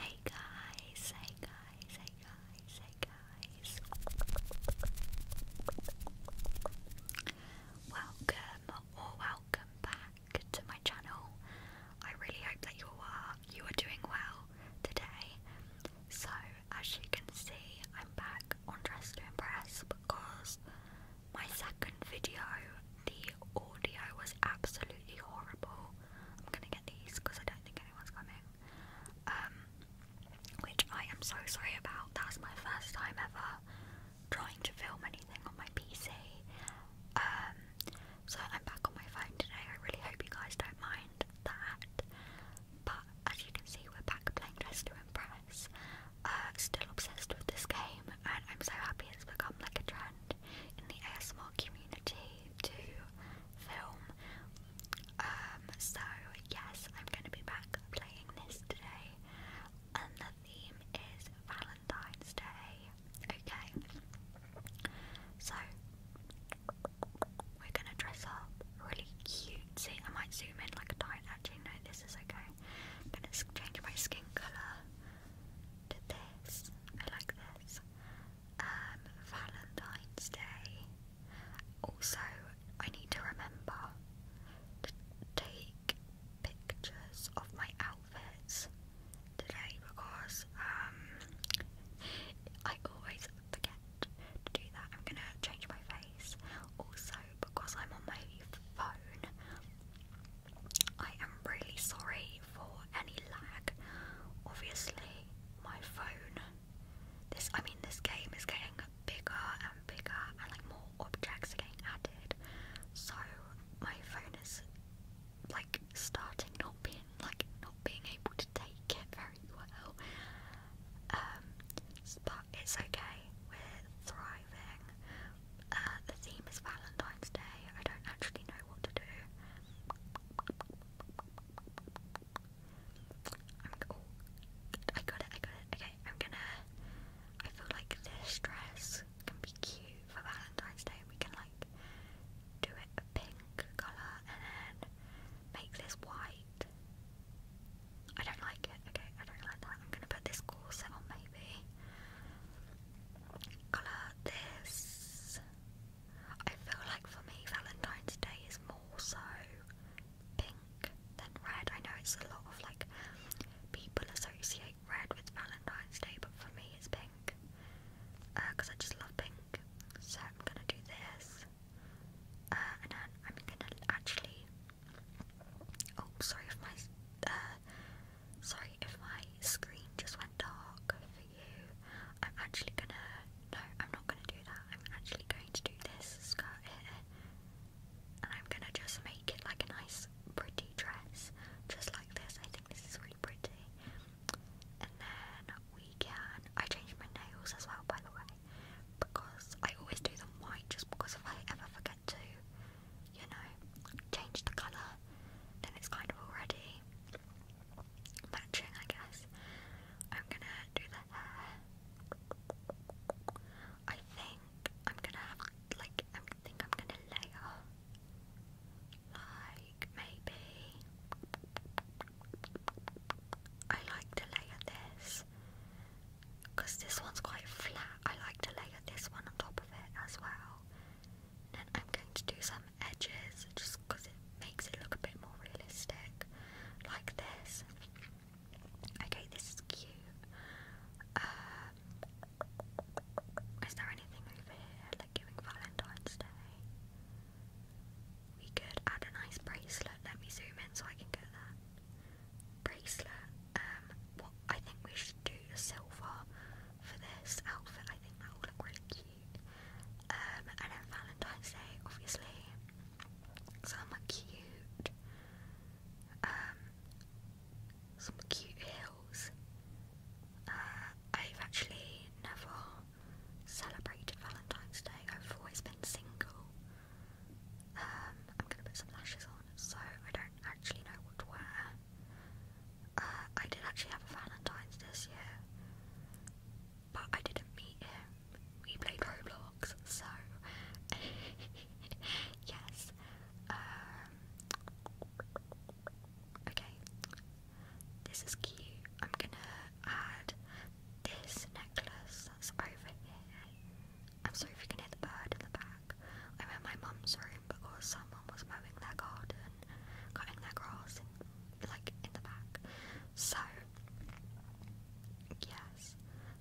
Hey guys, hey guys, hey guys, hey guys. Welcome or welcome back to my channel. I really hope that you are you are doing well today. So as you can see, I'm back on Dress to Impress because my second video, the audio was absolutely horrible. I'm gonna because I don't think anyone's coming. Um, which I am so sorry about. That was my first time ever trying to film anything on my PC. Um, so I'm back on my phone today. I really hope you guys don't mind that. But as you can see, we're back playing Dress to Impress. Uh, still obsessed with this game, and I'm so happy it's become like a trend in the ASMR community to film. Um, so yes, I'm going to be back playing this today, and the theme is Valentine's Day. Okay, so we're going to dress up really cute. cutesy. I might zoom in like a tiny. Actually, no, this is okay. I'm going to change my skin color to this. I like this. Valentine's Day. Also, I need to remember to take pictures of my outfits today because um, I always forget to do that. I'm gonna change my face. Also, because I'm on my phone, I am really sorry for any lag. Obviously, my phone. This, I mean, this game is getting bigger and bigger, and like more objects are getting added. So my phone is like starting not being like not being able to take it very well. Um, but it's okay. We're thriving. Uh, the theme is Valentine's Day. I don't actually know what to do. I'm, oh, got it, I got it. Okay, I'm gonna. I feel like this dress can be cute for Valentine's Day. We can like do it a pink colour and then make this white. I don't like it. Okay, I don't like that. I'm gonna put this corset on maybe. Colour this I feel like for me, Valentine's Day is more so pink than red. I know it's a lot of like people associate red with Valentine's Day, but for me, it's pink because uh, I just love pink. So I'm gonna do this, uh, and then I'm gonna actually. Oh, sorry if my uh, sorry if my screen just went dark. I'm actually gonna. No, I'm not gonna do that. I'm actually going to do this skirt here. And I'm gonna just make it like a nice, pretty dress. Just like this. I think this is really pretty. And then we can. I changed my nails as well, by the way. Because I always do them white just because if I ever forget to, you know, change the colour, then it's kind of already matching, I guess. I'm gonna do the hair. I think I'm gonna have, like, I think I'm gonna layer. Like, maybe. I like to layer this. Because this one's quite flat, I like to layer this one on top of it as well. Then I'm going to do some edges just it makes it look a bit more realistic, like this. Okay, this is cute. Um, is there anything over here like giving Valentine's Day? We could add a nice bracelet. Let me zoom in so I can get that bracelet. Um, I think we should do silver for this outfit. I think that will look really cute. Um, and then Valentine's Day, obviously. Um, some cute, some cute hills. Uh, I've actually never celebrated Valentine's Day. I've always been single. Um, I'm gonna put some lashes on, so I don't actually know what to wear. Uh, I did actually have a Valentine's this year but I didn't meet him. We played Roblox, so yes. Um, okay, this is cute. I'm gonna add this necklace that's over here. I'm sorry if you can hear the bird in the back. I'm in my mom's room because someone was mowing their garden cutting their grass, like in the back. So, yes.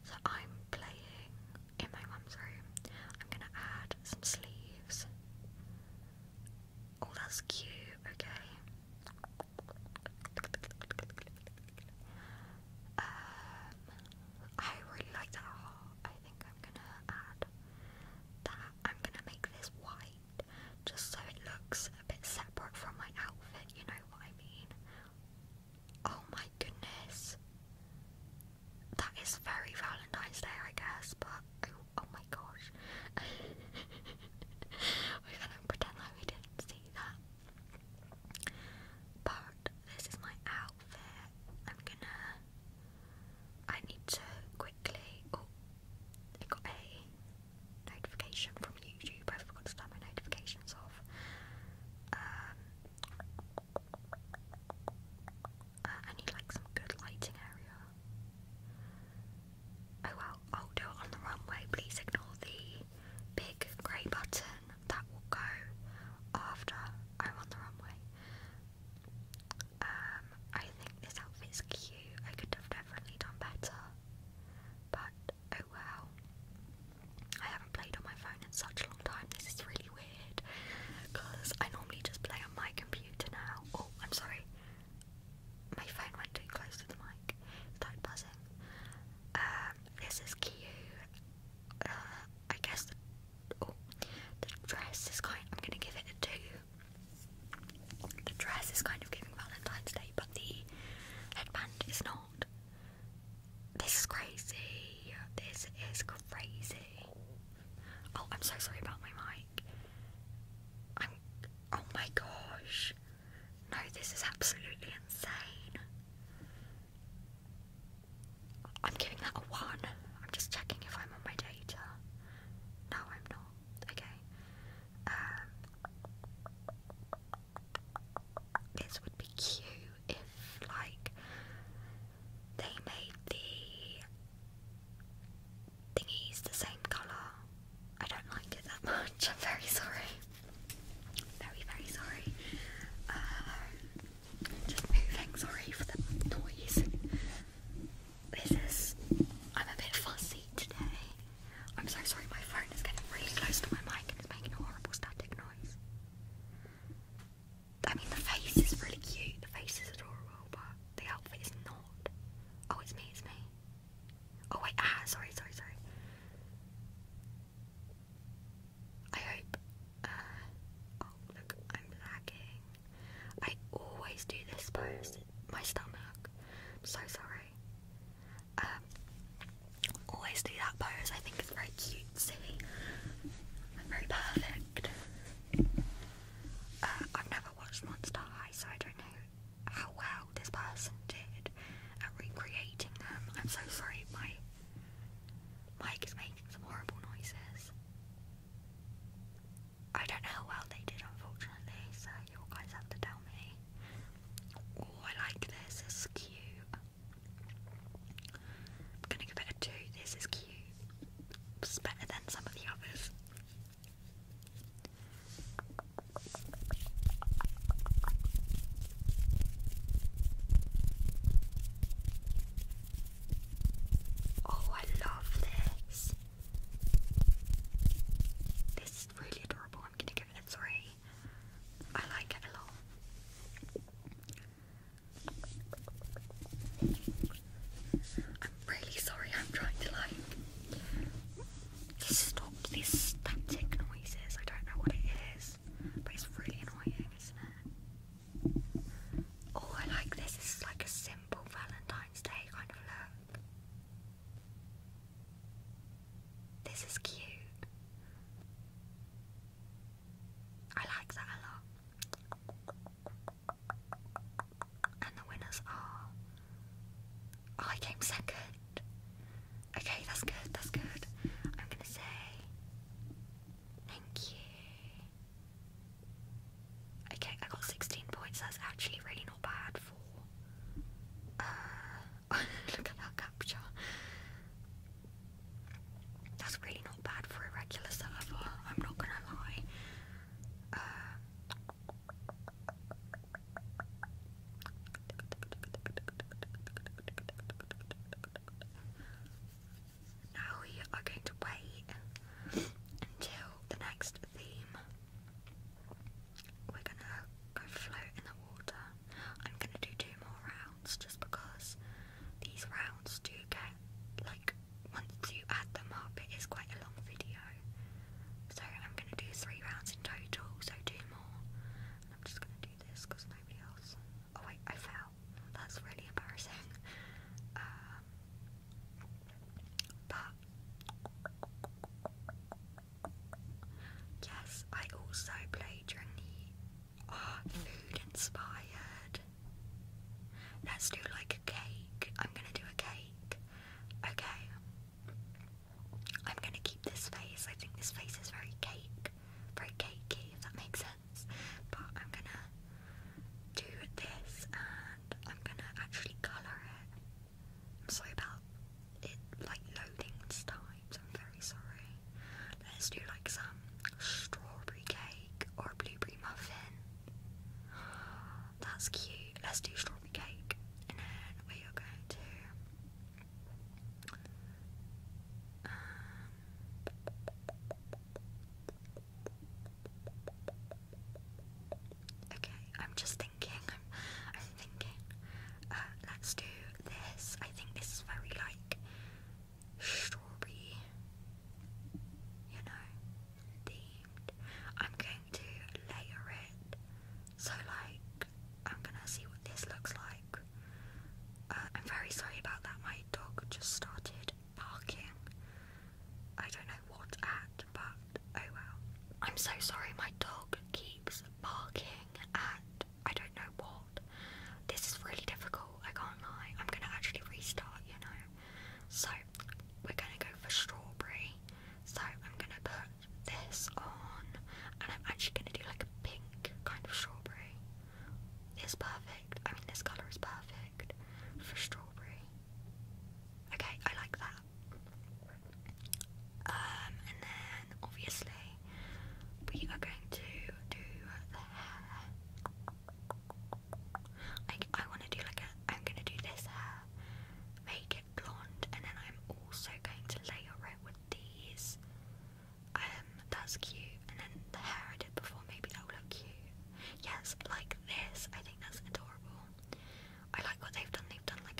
So I'm playing in my mum's room. I'm gonna add some sleeves. Oh, that's cute. Okay. Um, I really like that heart. I think I'm gonna add that. I'm gonna make this white just so it looks a bit separate from my outfit, you know what I mean? Oh my goodness. That is very Valentine's Day, I guess, but oh, oh my gosh. We're gonna pretend like we didn't see that. But this is my outfit. I'm gonna. I need to quickly. Oh, I got notification from YouTube. I forgot to turn my notifications off. Um, uh, I need like some good lighting area. Oh well, I'll do it on the runway. Please ignore the big grey button. That will go after I'm on the runway. Um, I think this outfit's cute. I could have done have really done better. But oh well. I haven't played on my phone in such a long time. This is really weird I normally just play on my computer now. Oh, I'm sorry. My phone went too close to the mic. It started buzzing. Um, this is cute. Uh, I guess oh, the dress is kind. I'm gonna give it a two the dress is kind of giving Valentine's Day, but the headband is not. This is crazy. This is crazy. Oh, I'm so sorry about my mic. I'm. Oh my gosh. No, this is absolutely insane. I'm giving that a 1. I'm just checking if I'm on my data. No, I'm not. Okay. Um, this would be cute if, like, they made the thingies the same colour. I don't like it that much. I'm very sorry. Very, very sorry. Um, just moving. Sorry for the noise. This is. I'm a bit fussy today. I'm so sorry, my phone is getting really close to my mic and it's making a horrible static noise. I mean, the face is really cute, the face is adorable, but the outfit is not. Oh, it's me, it's me. Oh, wait, ah, sorry, sorry, sorry. I hope. Uh, oh, look, I'm lagging. I always do this post. My stomach. I'm so sorry. Um, always do that pose. I think it's very cutesy very perfect. Uh, I've never watched Monster High, so I don't know how well this person did at recreating them. I'm so sorry, my mic is making some horrible noises. I don't know how well they did, unfortunately, so you guys have to tell me. Oh, I like this. It's cute. I'm gonna give it a two. This is cute. It's better than some of the others. Oh, I love this. This it's really adorable. I'm gonna give it a three. I like it a lot. I'm really sorry, I'm trying to like stop these static noises. I don't know what it is, but it's really annoying, isn't it? Oh, I like this. It's like a simple Valentine's Day kind of look. This is cute. I like that a lot. And the winners are. Oh, I came second. Okay, that's good, that's good. I'm gonna say. Thank you. Okay, I got 16 points. That's actually really not bad for. Uh, look at that capture. That's really not bad for a regular server, I'm not gonna lie. Uh, now we are going to wait until the next theme we're gonna go float in the water. I'm gonna do two more rounds just because these rounds do get like once you add them up, it is quite a long video. So I'm gonna do three rounds in total, so two more. And I'm just gonna do this because nobody else. Oh wait, I fell. That's really embarrassing. Um, but Yes, I also played during the food inspired. Let's do like a cake. I'm gonna do a cake. Okay. I'm gonna keep this face. I think this face is very cake. Very cakey, if that makes sense. But I'm gonna do this and I'm gonna actually colour it. I'm sorry about it like loading times. I'm very sorry. Let's do like some strawberry cake or blueberry muffin. That's cute. Let's do strawberry cake and then we are going to um, Okay, I'm just I'm, thinking. Uh, let's do this. I think this is very like strawberry, you know, themed. I'm going to layer it. So like, I'm gonna see what this looks like. Uh, I'm very sorry about that. My dog just started barking. I don't know what at, but oh well. I'm so sorry. My dog keeps barking at I don't know what. This is really difficult, I can't lie. I'm gonna actually restart, you know. So, we're gonna go for strawberry. So, I'm gonna put this on, and I'm actually gonna do like a pink kind of strawberry. It's perfect. I mean, this colour is perfect for strawberry. Okay, I like that. Um, and then obviously we are going to do the hair. I, I want to do like a, I'm going to do this hair, make it blonde, and then I'm also going to layer it with these. Um, that's cute. And then the hair I did before, maybe that will look cute. Yes, like this. I think that's adorable. I like what they've done. They've done like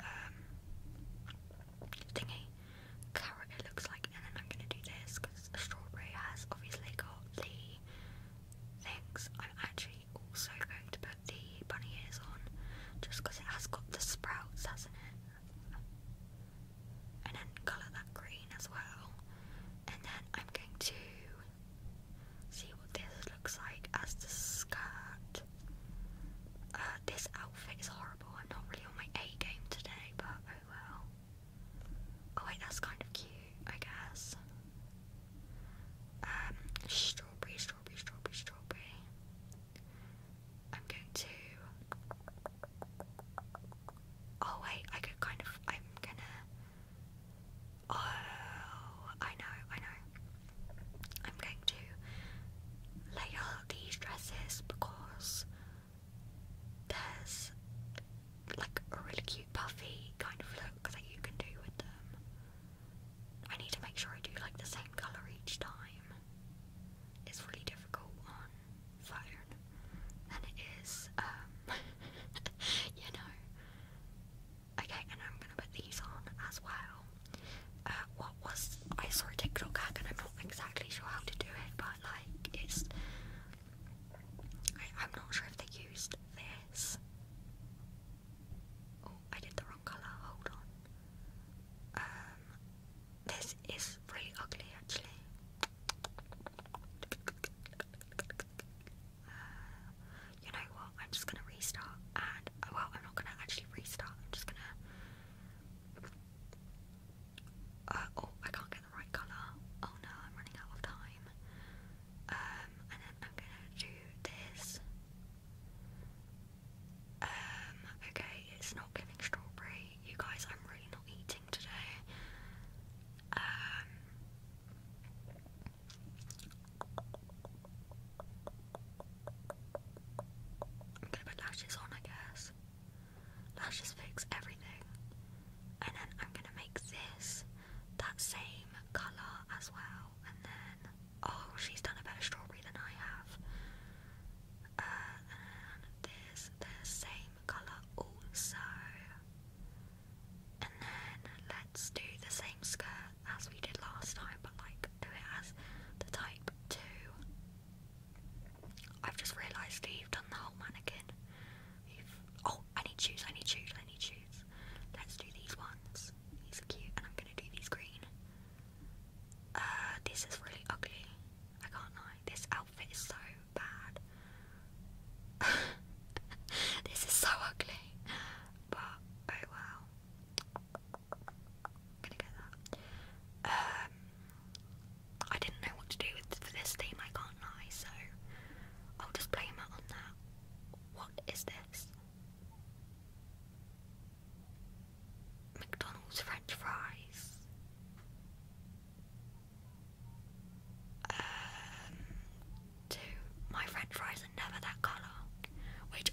a um, thingy carrot. It looks like, and then I'm gonna do this because a strawberry has obviously got the things. I'm actually also going to put the bunny ears on, just because it has got the sprouts, hasn't it? And then colour that green as well. And then I'm going to see what this looks like as the skirt. Uh, this outfit is horrible. I'm not really on my A game today, but oh well. Oh wait, that's kind of cute, I guess. Um, strawberry, strawberry, strawberry, strawberry. I'm going to. Oh wait, I could kind of. I'm gonna. Oh, I know, I know. I'm going to layer these dresses because there's like a really cute puffy kind of look that you can do with them. I need to make sure I do like the same colour each time. It's really difficult on phone and it is, um, you know. Okay, and I'm gonna put these on as well. Uh, what was I saw a TikTok hack and I'm not exactly sure how to do it, but like it's I, am not sure if they used this. Oh, I did the wrong color. Hold on. Um, this is really ugly actually. Uh, you know what? I'm just gonna restart and well, I'm not gonna actually restart. I'm just gonna uh, oh, I can't get the right colour. Oh no, I'm running out of time. Um, and then I'm gonna do this. Um, okay, it's not giving strawberry. You guys, I'm really not eating today. Um, could have put lashes on, I guess. Lashes fix everything. And then I'm gonna make this that same colour as well. And then, oh, she's done a better strawberry than I have. Uh, and this, the same colour also. And then let's do the same skirt as we did last time, but like do it as the type 2. I've just realised you've done the whole mannequin. oh, I need shoes, I need shoes, I need shoes. Let's do these ones. These are cute, and I'm gonna do these green. Uh, this is really ugly. I can't lie. This outfit is so bad. this is so ugly. But, oh wow. Um, I didn't know what to do with this theme. I can't lie, so I'll just blame it on that. What is this? McDonald's French fries. Um, My French fries are never that colour, which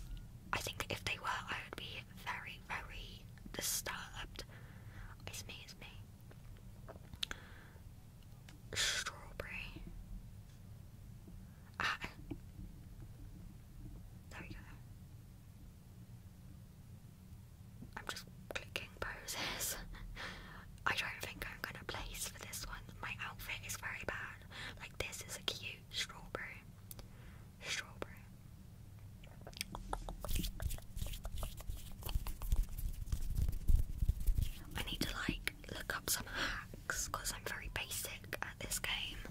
I think if they were, I would be very, very disturbed. It's me, it's me. Strawberry. Ah. There we go. I'm just clicking poses. I don't think I'm gonna place for this one. My outfit is very bad. Like this is a cute strawberry strawberry. I need to like look up some hacks because I'm very basic at this game.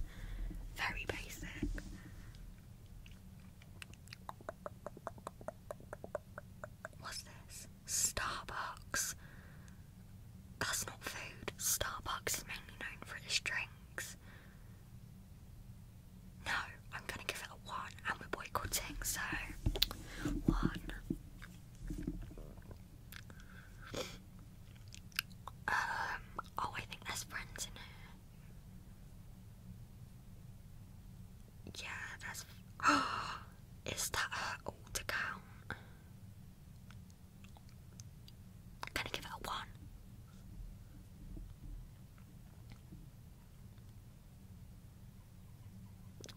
Very basic. What's this? Starbucks. That's not food. Starbucks is mainly known for its drinks. No, I'm gonna give it a 1, and we're boycotting, so 1. Um, oh, I think there's friends in here. Yeah, there's. Oh, is that her all to gonna give it a one.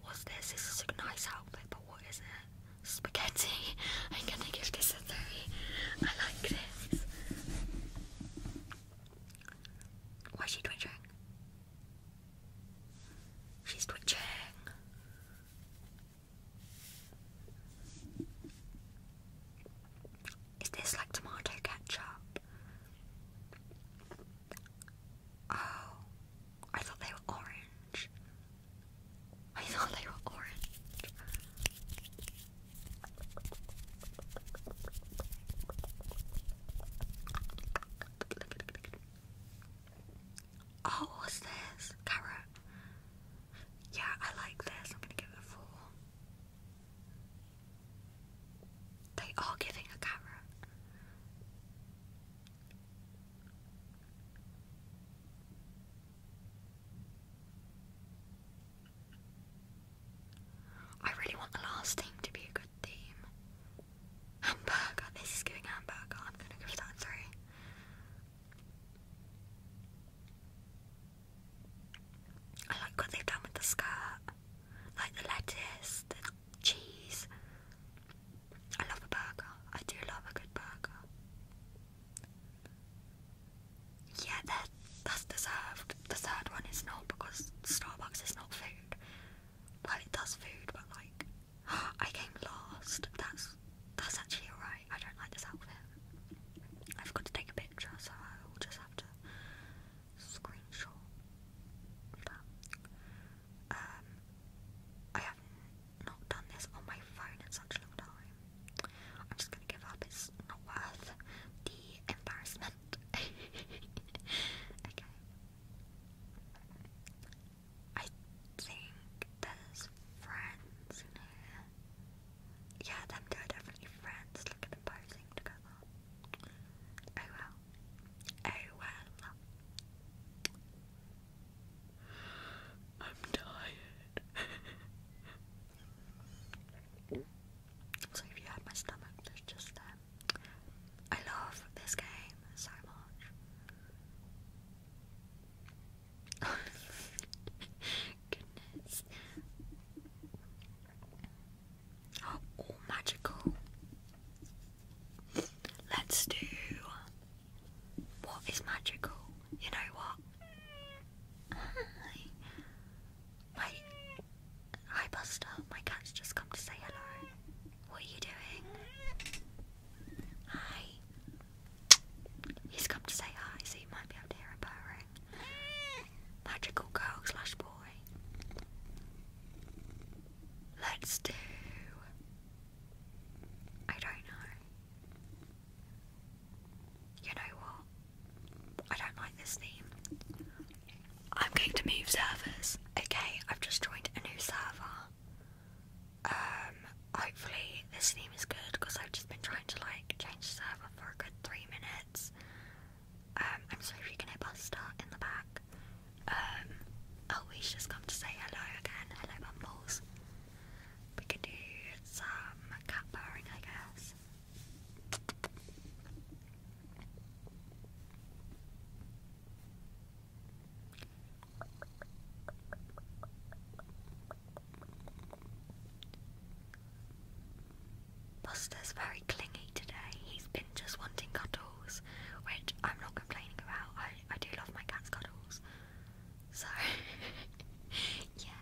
What's this? This is a nice outfit, but what is it? Spaghetti. I'm gonna give this a three. I like this. Why is she twitching? She's twitching. Is this like tomato ketchup? Oh, I thought they were orange. I thought they were orange. Oh, what's this? Carrot. Yeah, I like this. I'm gonna give it a four. They are giving a carrot. I really want the last theme to be a good theme. Hamburger. This is giving hamburger. I'm gonna give that a three. I like what they've done with the skirt, like the lettuce, the cheese. I love a burger. I do love a good burger. Yeah, that that's deserved. The third one is not because Starbucks is not food. Well, it does food, but like I came last. That's that's actually alright. I don't like this outfit. I've got to take a picture, so I'll just screenshot that. Um, I have not done this on my phone in such a long time. I'm just gonna give up. It's not worth the embarrassment. okay. I think there's friends in here. Yeah, them two are definitely friends. Look at them posing together. Oh well. Oh well. I'm tired. so if you had my stomach, there's just them. Um, I love this game so much. Goodness. All magical. Let's do what is magical. You know what? Hi. hi Buster. My cat's just come to say hello. What are you doing? Hi. He's come to say hi, so you might be able to hear him purring. Magical girl slash boy. Let's do. I don't know. You know what? I don't like this theme. I'm going to move servers. Okay, I've just joined a new server. Um, hopefully this theme is good because I've just been trying to like change server for a good three minutes. Um, I'm sorry if you can hear Buster in the back. Um, oh, he's just come to say hello again. Hello, Bumbles. We could do some cat purring, I guess. Buster's very clingy today. He's been just wanting cuddles, which I'm not complaining about. I, I do love my cat's cuddles. So, yeah.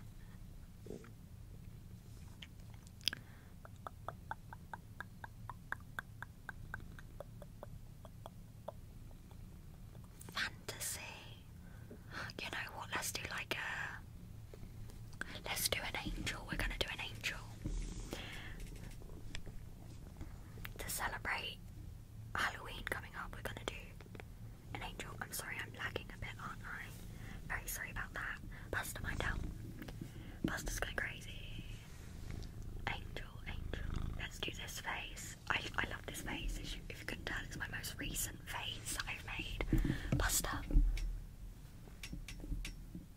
Fantasy. You know what? Let's do like a Let's do an angel. We're gonna do an angel to celebrate Halloween coming up. We're gonna do an angel. I'm sorry, I'm lagging a bit, aren't I? Very sorry about that. Buster, mind out. Buster's going crazy. Angel, angel. Let's do this face. I I love this face. If you, can tell, it's my most recent face I've made. Buster.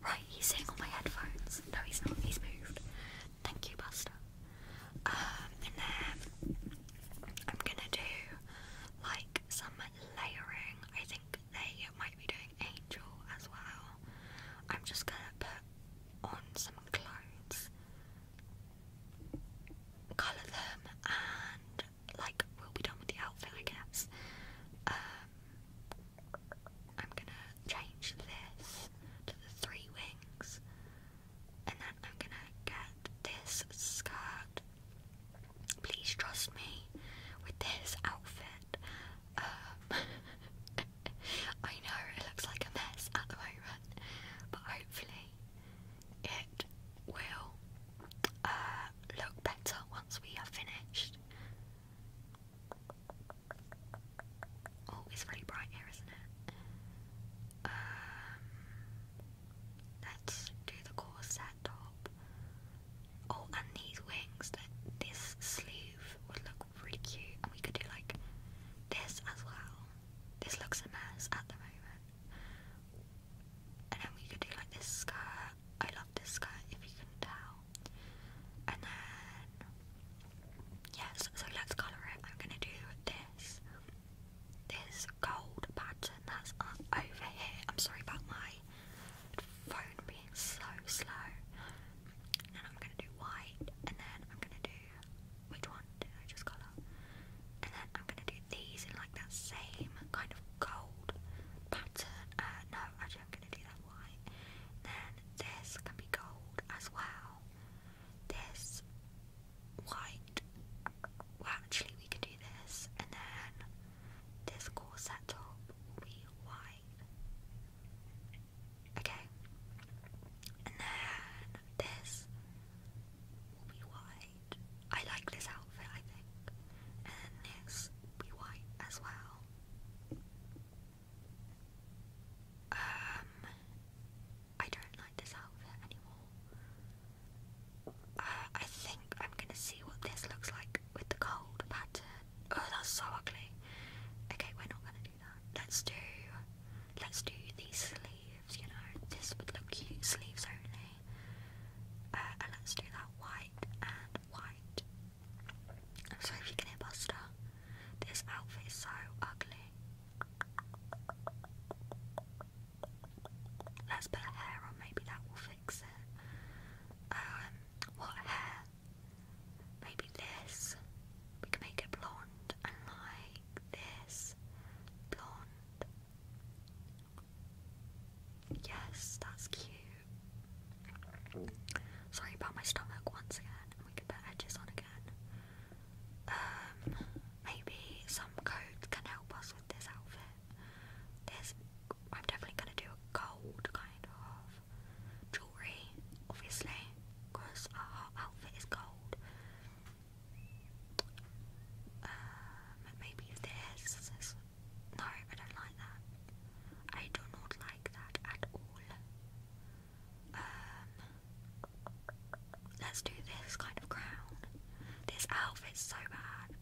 Right, he's saying all my headphones. No, he's not. He's moved. Thank you, Buster. Um, and then I'm gonna do like some layering. I think they might be doing angel as well. I'm just gonna put on some clothes, color them, and like we'll be done with the outfit, I guess. Um, I'm gonna change this to the three wings, and then I'm gonna get this skirt. Please trust me with this outfit. Um, I know it looks like a mess at the moment, but hopefully it will uh, look better once we are finished. Oh, it's really bright here, isn't it? Um, let's do the corset top. Oh, and these wings. this sleeve would look really cute, and we could do like this as well. This looks a mess at the moment and then we could do like this skirt. I love this skirt if you can tell. And then yes, so let's colour it. I'm gonna do this this gold pattern that's over here. I'm sorry about my phone being so slow. And I'm gonna do white and then I'm gonna do which one I just colour? And then I'm gonna do these in that same kind of gold pattern. Uh, no, I'm gonna do that white. Then this can be gold as well. This white. actually, we can do this, and then this corset top will be white. Okay, and then this will be white. I like this outfit, I think and Nicks be white as well. Um, I don't like this outfit anymore. Uh, I think I'm gonna see what this looks like with the gold pattern. Oh, that's so ugly. Okay, we're not gonna do that. Let's do, let's do these sleeves. You know, this would look cute. Sleeves only. Uh, and let's do that white and white. I'm sorry if you can hear Buster. This outfit is so ugly. Let's put hair on, maybe that will fix it. Um, what hair? Maybe this. We can make it blonde and like this. Blonde. Yes, that's cute. Sorry about my stomach once again, we get the edges on again. Um, maybe some coat can help us with this outfit. There's, I'm definitely gonna do gold kind of jewelry, obviously, because our outfit is gold. Um, maybe this no, I don't like that. I do not like that at all. Um, let's do this kind of crown. This outfit's so bad.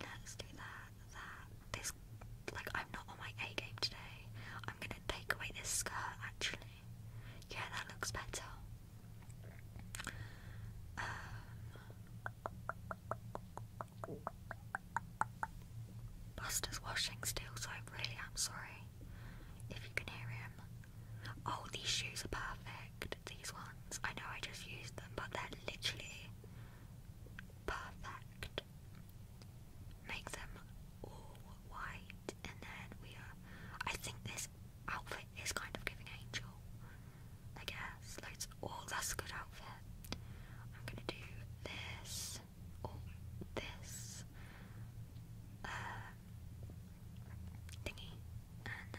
Let's do that, that. This, like, I'm not on my A game today. I'm gonna take away this skirt actually. Yeah, that looks better. Um, Buster's washing still, so I really am sorry if you can hear him. Oh, these shoes are perfect, these ones. I know I just used them, but they're literally perfect. Make them all white, and then we are. I think this outfit is kind of giving Angel. I guess. Like oh, that's a good outfit. I'm gonna do this oh, this uh, thingy, and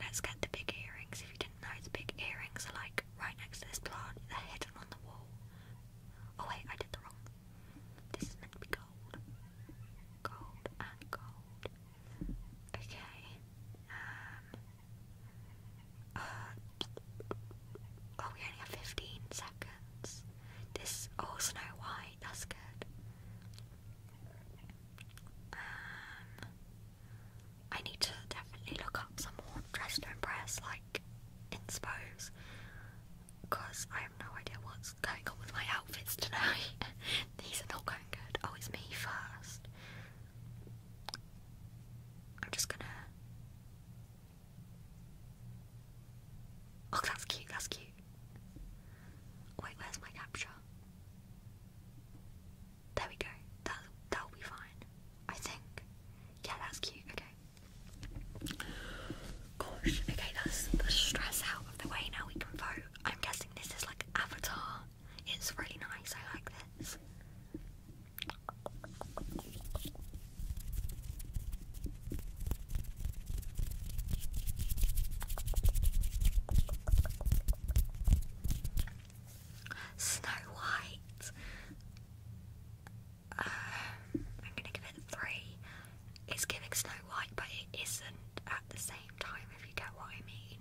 let's get the big earrings. If you didn't know, the big earrings are like right next to this plant. They're hidden on the wall. Oh wait, I did the wrong. This is meant to be gold. Gold and gold. Okay. Um uh, oh, we only have 15 seconds. This, oh, Snow White, that's good. Um, I need to definitely look up some more Dress to Impress, like, inspos, because I have no idea what's going on with my outfits tonight. These are not going good. Oh, it's me first. I'm just gonna. Oh, that's cute, that's cute. Wait, where's my capture? There we go. That that'll be fine. I think. Yeah, that's cute. Okay. Gosh. Okay, that's the stress out of the way. Now we can vote. I'm guessing this is like Avatar. It's really nice. I like this. Snow White. Um, I'm gonna give it three. It's giving Snow White, but it isn't at the same time. If you get what I mean.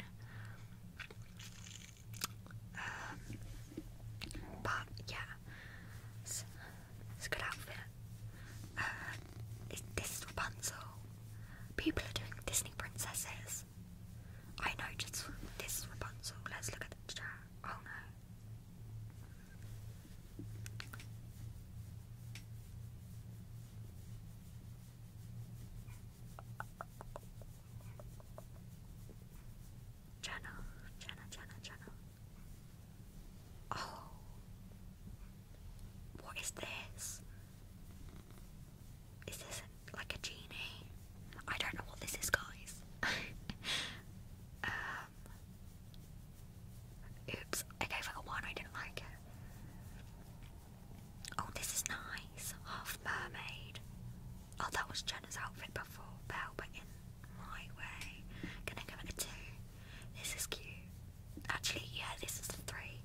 Um, but yeah, it's, good outfit. Um, this Rapunzel? People are doing Disney princesses. I know just this Rapunzel. Let's look at the chat. Oh no. Channel, channel, channel, channel. Oh, what is this? Is this like a genie? I don't know what this is, guys. Um, oops, I gave it one. I didn't like Oh, this is nice. Half mermaid. Oh, that was Jenna's outfit before Belle, but in my way. Gonna give it a two. This is cute. Actually, yeah, this is a three.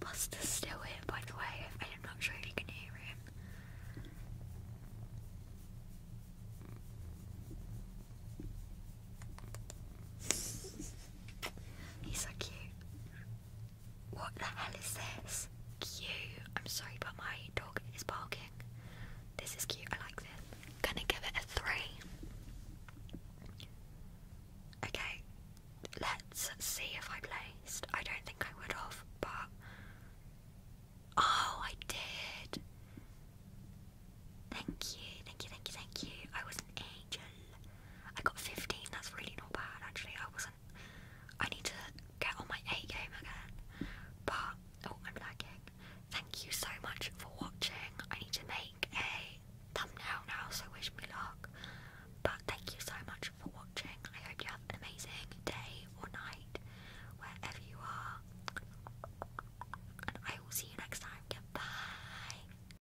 Buster's still here, by the way. I'm not sure if you can hear him. He's so cute. What the hell is this? Cute. I'm sorry, but my dog is barking. This is cute. I like this. Gonna give it a three. Okay, let's see if I placed. I don't think I would have, but oh, I did. Thank you, thank you, thank you, thank you. I was an angel. I got 15, that's really not bad actually. I wasn't. I need to get on my A game again. But, oh, I'm lagging. Thank you so much for watching. I need to make a thumbnail now, so wish me luck. But thank you so much for watching. I hope you have an amazing day or night, wherever you are. And I will see you next time. Goodbye.